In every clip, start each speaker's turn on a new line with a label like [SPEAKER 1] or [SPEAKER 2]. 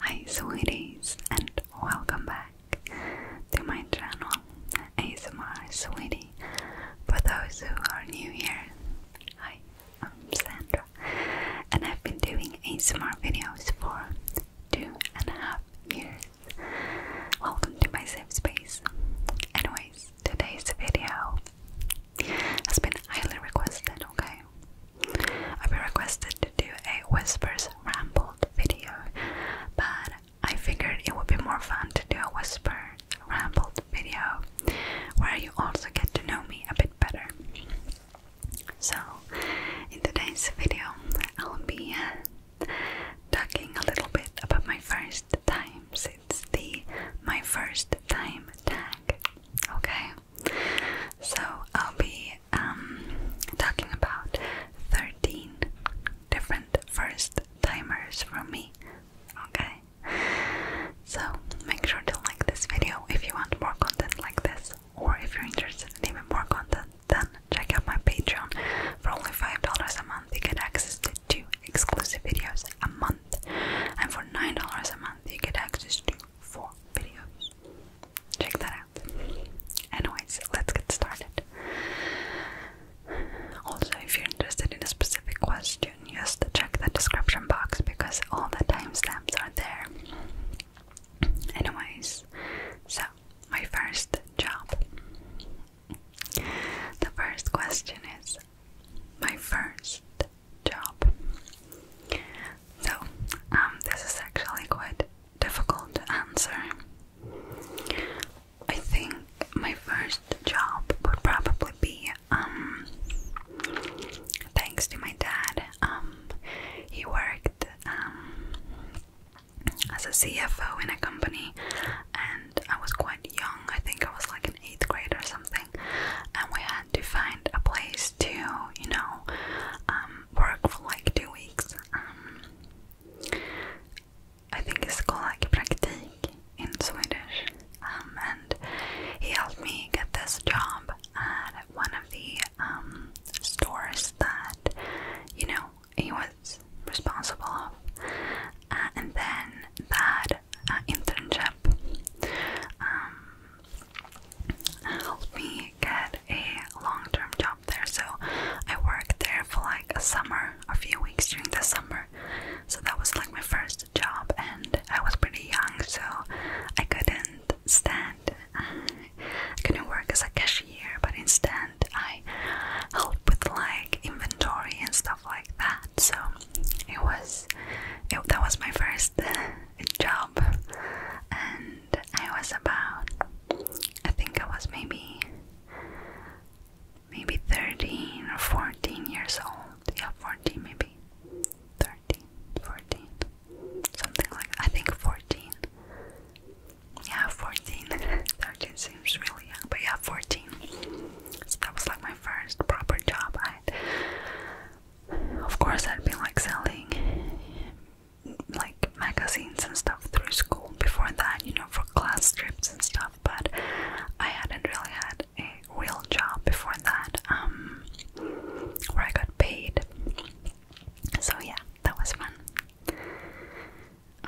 [SPEAKER 1] Hi sweeties and welcome back to my channel ASMR Sweetie. For those who are new here, I'm Sandra and I've been doing ASMR videos for two and a half years. Welcome to my safe space. Anyways, today's video has been highly requested, okay? I've been requested to do a whispers rambled video, but I figured it would be more fun to do a whisper rambled video where you also get to know me a bit better. So, in today's video, I'll be uh, talking a little bit about my first times. It's the my first time tag. Okay, so I'll be um, talking about 13 different first timers from me. Okay? So make sure to like this video if you want more content like this, or if you're interested in even more content, then check out my Patreon. For only $5 a month, you get access to two exclusive videos a month, and for $9 a month, and you get access to four videos. Check that out. Anyways, let's get started. Also, if you're interested in a specific question, just check the description box because all the timestamps are there. Anyways, so my first job. The first question is my first job. So, um, this is actually quite difficult to answer. I think my first job would probably be, um, thanks to my dad. Um, he worked um, as a CFO in a company, and I was quite young. I think I was like in eighth grade or something, and we had to find a place to, you know, um, work for like two weeks. Um, I think it's called like praktik in Swedish. Um, and he helped me get this job at one of the stores that, you know, he was responsible of. Uh, and then that uh, internship um, helped me get a long-term job there. So I worked there for like a summer, a few weeks during the summer. So that was like my first job, and I was pretty young, so I couldn't stand. Uh, I couldn't work as a cashier, but instead I helped with like inventory and stuff like that. So it was that was my first uh, job, and I was about I think I was maybe maybe thirteen or fourteen years old. Yeah, fourteen maybe. 13, 14, something like I think 14. Yeah, 14. 13 seems really young, but yeah, 14. So that was like my first proper job. I, of course, I'd been like selling like magazines and stuff through school before that, you know, for class trips and stuff. But I hadn't really had a real job before that, um, where I got paid. So yeah, that was fun.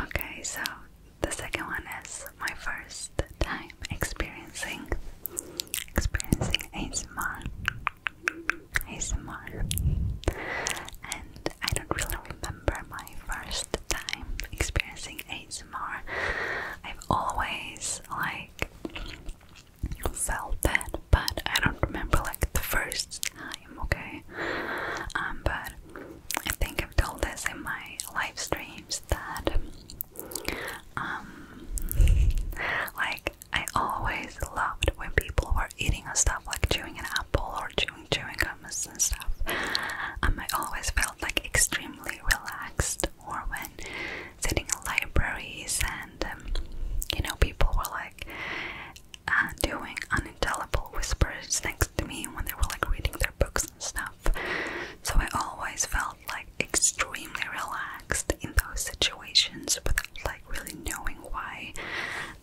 [SPEAKER 1] Okay, so the second one is my first time experiencing experiencing ASMR ASMR and I don't really remember my first time experiencing ASMR I've always like felt that but I don't remember like the first time okay um but I think I've told this in my live streams that um, like I always loved when people were eating stuff like chewing an apple or chewing chewing gums and stuff. Um, I always felt like extremely relaxed. Or when sitting in libraries and um, you know people were like uh, doing unintelligible whispers next to me when they were like reading their books and stuff. So I always felt like extremely relaxed in those situations without like really knowing why.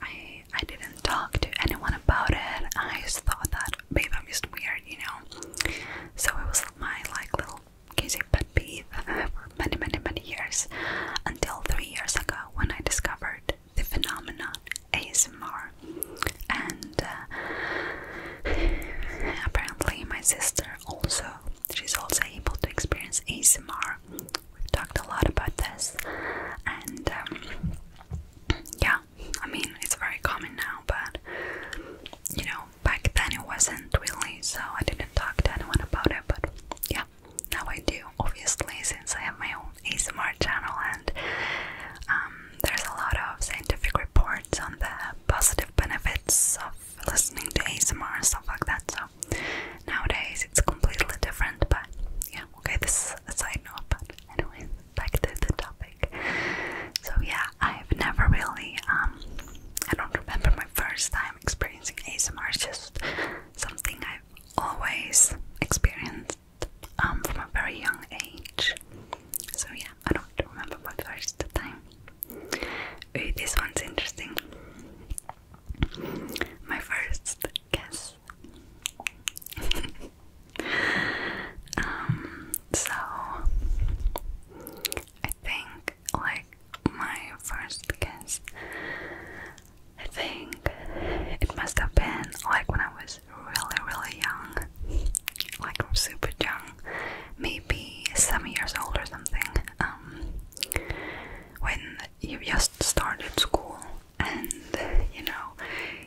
[SPEAKER 1] I I didn't talk to anyone about it. I just thought that babe I'm just weird, you know. So it was my like little crazy pet peeve for many many many years until three years ago when I discovered the phenomenon ASMR, and uh, apparently my sister also she's also able to experience ASMR. We've talked a lot about this, and um, yeah, I mean it's very common now, but you know back then it wasn't really, so I didn't talk to anyone about it. But yeah, now I do, obviously, since I have my own ASMR channel and. Um, there's a lot of scientific reports on the positive benefits of listening to ASMR and stuff like that. So nowadays it's completely different, but yeah, okay, this is a side note. But anyway, back to the topic. So yeah, I've never really, um, I don't remember my first time experiencing ASMR. It's just something I've always experienced um, from a very young age. So yeah, I don't remember my first time. this one's interesting. My first guess. Um, so I think like my first guess I think it must have been like when I was really, really young, like I'm super young, maybe seven years old or something, um, when you just started school and you know,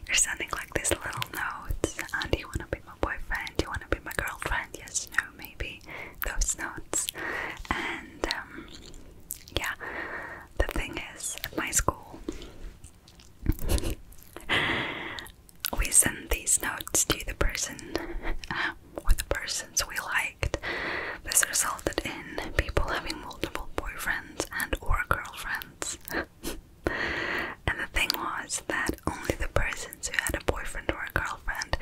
[SPEAKER 1] you're sending like this little notes and you want to be my boyfriend, you want to be my girlfriend, yes, no, maybe, those notes. And um, yeah, the thing is, at my school, we send these notes to the person or the persons we liked. This resulted in people having multiple boyfriends and or girlfriends. and the thing was that only the persons who had a boyfriend or a girlfriend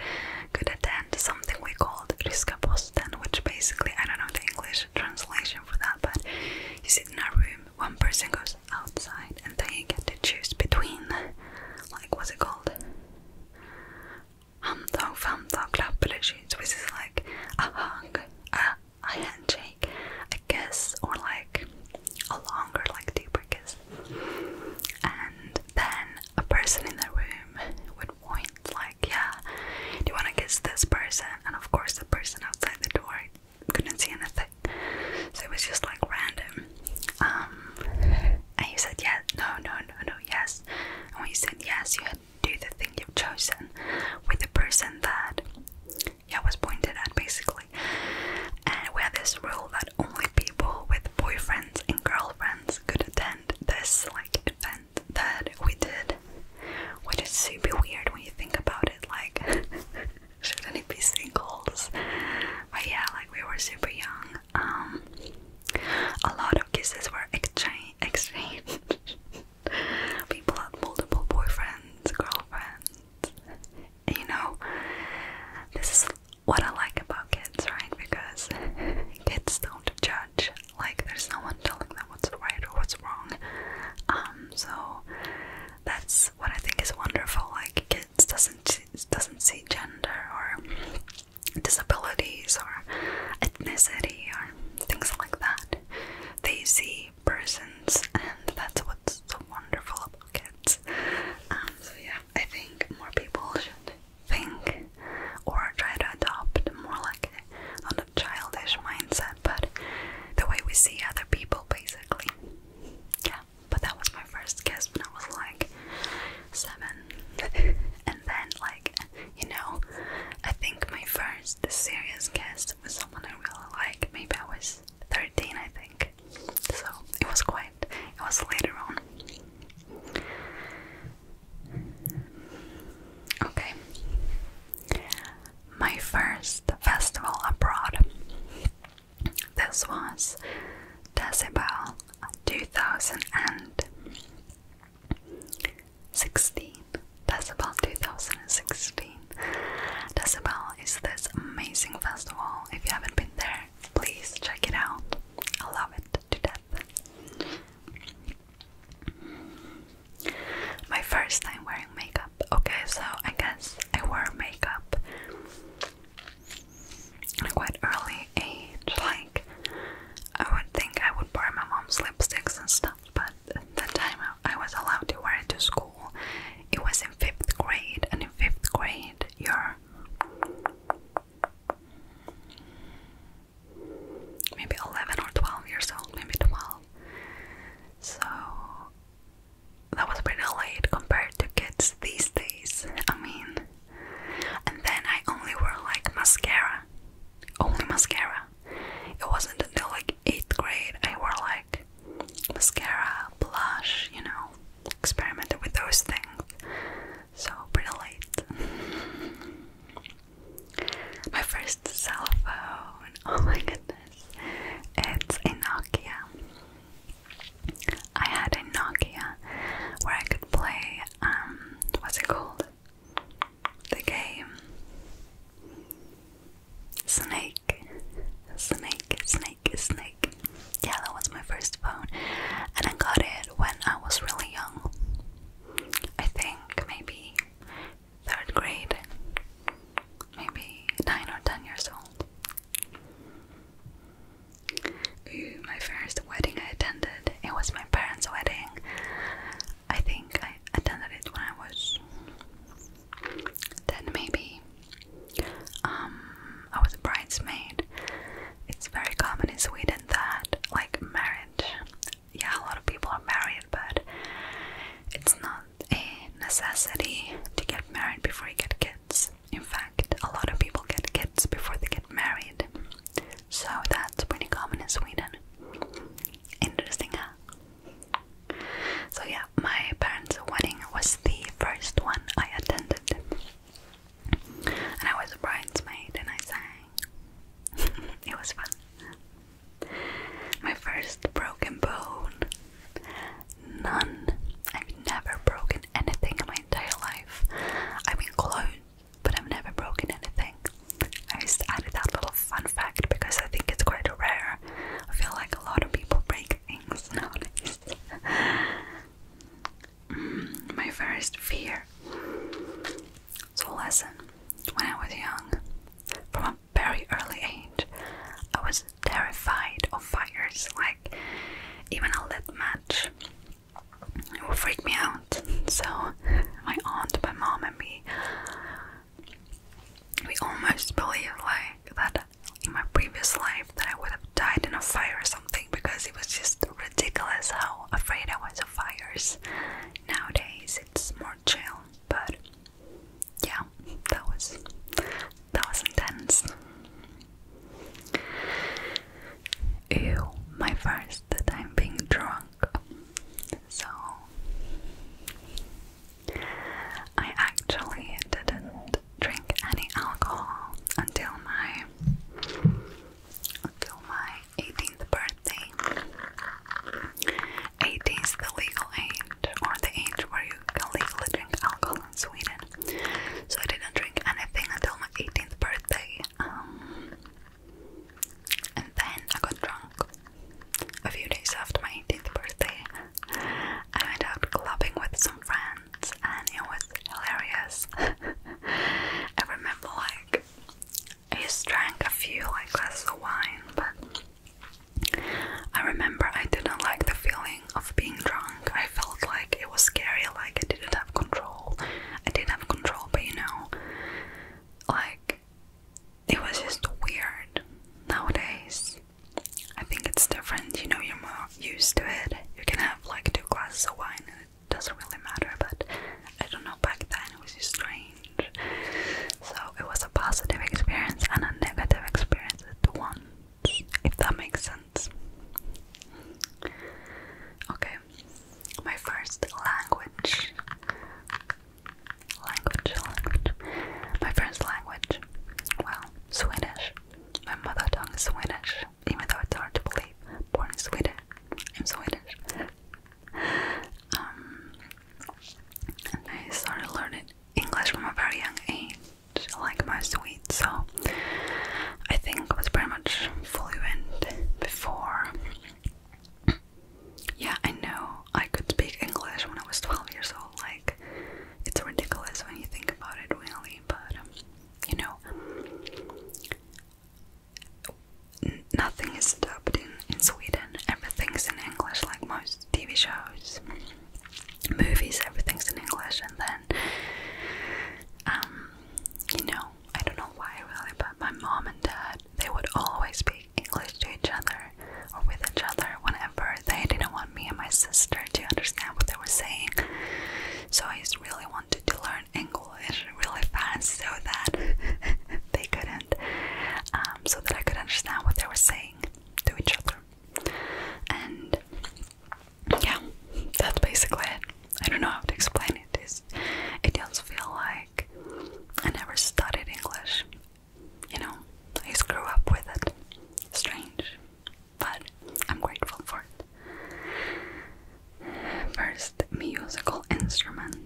[SPEAKER 1] could attend something we called Riska Posten, which basically I don't know the English translation for that, but you sit in a room one person goes outside and then you get to choose between like what's it called? Hamdog, famdog, club which is like a hug, a, a handshake, a kiss, or like a longer, like deeper kiss. And then a person in the room would point like, yeah, do you wanna kiss this person? And of course the person outside the door couldn't see anything. So it was just like random. Um, and you said yeah, no, no, no, no, yes. And when you said yes, you had to do the thing you've chosen with the person that yeah was pointed at basically. And we had this rule that only people with boyfriends and girlfriends could attend this like event that we did which is super weird when you think about it, like, shouldn't it be singles? But yeah, like, we were super young. Um, a lot of kisses were exchange exchanged. People had multiple boyfriends, girlfriends. You know, this is what I like about kids, right? Because kids don't judge like, there's no one telling them what's right or what's wrong. Um, so that's what I think is wonderful. Like, kids doesn't doesn't see gender or disabilities or ethnicity or things like that. They see persons, and that's what's so wonderful about kids. Um, so yeah, I think more people should think or try to adopt more like childish mindset, but the way we see other people basically. Yeah, but that was my first kiss when I was like seven. and then, like, you know, I think my first serious kiss was someone I really like. Maybe I was 13, I think. So it was quite, it was later on. Okay my first festival abroad. This was Decibel 2016. Decibel 2016. Decibel is this amazing festival. If you haven't been there, please check it out. I love it to death. My first time wearing makeup. Okay, so I guess I wore makeup at a quite early age. Like, I would think I would borrow my mom's lipsticks and stuff, but at the time I was allowed to wear it to school, it was in fifth grade, and in fifth grade, you're maybe 11 or 12 years old, maybe 12. So that was pretty late compared to kids these days. I mean, and then I only wore like mascara, only mascara. It wasn't until like 8th grade I wore like mascara, blush, you know, experimented with those things. So pretty late. My first cell phone, oh my goodness, it's a Nokia. I had a Nokia where I could play, um, what's it called? The game Snake, Snake, Snake, Snake. Yeah, that was my first phone, and I got it when I was really young. I think maybe third grade, maybe nine or ten years old. my first wedding I attended, it was my parents' wedding. I think I attended it when I was then maybe. Um, I was a bridesmaid. It's very common in Sweden that, like, marriage yeah, a lot of people are married, but it's not a necessity to get married before you get kids. In fact, a lot of people get kids before they get married, so that's pretty common in Sweden. Interesting, huh? So, yeah, my parents' wedding was the first one I attended, and I was a bridesmaid, and I sang it was fun. My first broken bone. None. I've never broken anything in my entire life. I've been cloned, but I've never broken anything. I just added that little fun fact because I think it's quite rare. I feel like a lot of people break things nowadays. mm, my first fear so, listen, when I was young, from a very early age, I was terrified of fires, like even a lit match. It would freak me out. So, my aunt, my mom, and me, we almost believed like that in my previous life that I would have died in a fire or something because it was just ridiculous how afraid I was of fires. Nowadays it's more chill, but yeah, that was that was intense. Ew, my first time being drunk. So I actually didn't drink any alcohol until my until my 18th birthday. 18 is the legal age, or the age where you can legally drink alcohol in Sweden. So I didn't drink anything until my 18th birthday. Um, and then I got drunk a few days after my 18th birthday. I went out clubbing with some friends, and it was hilarious. I remember like I just drank a few like glasses of wine, but I remember I didn't like the feeling of being drunk. I felt like it was scary, like I didn't have control. I did not have control, but you know, like it was just weird. Nowadays, I think it's different. You know, you're more used to it. You can have like two glasses of wine it doesn't really matter, but I don't know, back then it was strange. So it was a positive experience and a negative experience at once, if that makes sense. Okay, my first language. Language, language. My first language. Well, Swedish. My mother tongue is Swedish even though it's hard to believe, born in Sweden. I'm Swedish. Um, and I started learning English from a very young age, like my sweet, so I think I was pretty much fully fluent before. Yeah, I know I could speak English when I was 12 years old. Like, it's ridiculous when you think about it, really. But, um, you know, nothing is dubbed in, in Sweden, everything's in English, like most TV shows, movies, everything's in English, and then, um, you know, I don't know why really, but my mom and dad, they would always speak English to each other, or with each other, whenever they didn't want me and my sister to understand what they were saying, so I really wanted to learn English really fast so that they couldn't, um, so that I could understand what they were saying to each other. And yeah, that's basically it. I don't know how to explain it. it does feel like I never studied English. You know, I just grew up with it. Strange but I'm grateful for it. First musical instrument.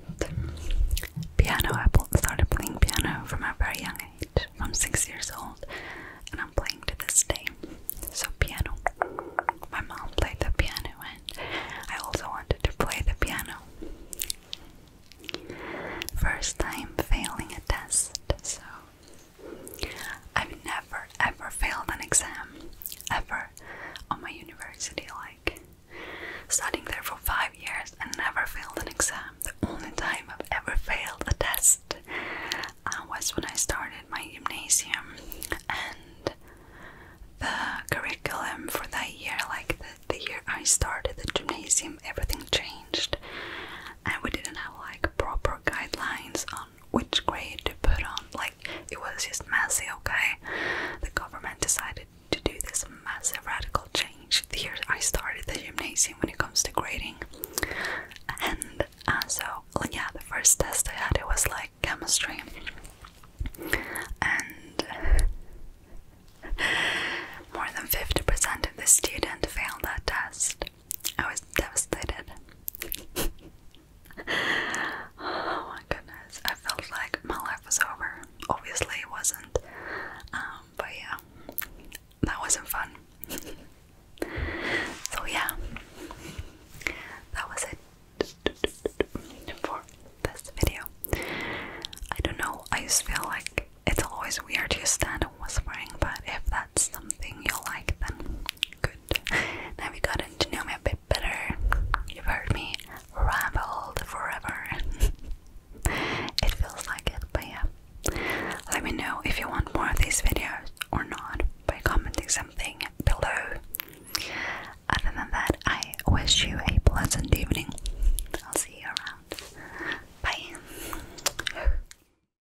[SPEAKER 1] Piano. I started playing piano from a very young age, from six years old, and I'm playing to this day. So piano. My mom played the piano, and I also wanted to play the piano. First time failing a test, so I've never ever failed an exam ever on my university like studying there for five years and never failed an exam. The only time I've ever failed a test uh, was when I started my gymnasium and the curriculum for that year, like the, the year I started the gymnasium, everything changed and we didn't have like proper guidelines on which grade to put on. Like, it was just messy, okay? The government decided to do this massive radical change. Here I started the gymnasium when it comes to grading. And uh, so, like, yeah, the first test I had, it was like chemistry. And more than 50% of the students failed that test. I was devastated. oh my goodness. I felt like my life was over. Obviously, it wasn't. Um, but yeah, that wasn't fun. so, yeah, that was it for this video. I don't know, I just feel like it's always weird to stand and whispering, but if that something you'll like then. Good. Now we got to know me a bit better. You've heard me rambled forever. it feels like it, but yeah. Let me know if you want more of these videos or not by commenting something below. Other than that, I wish you a pleasant evening. I'll see you around. Bye.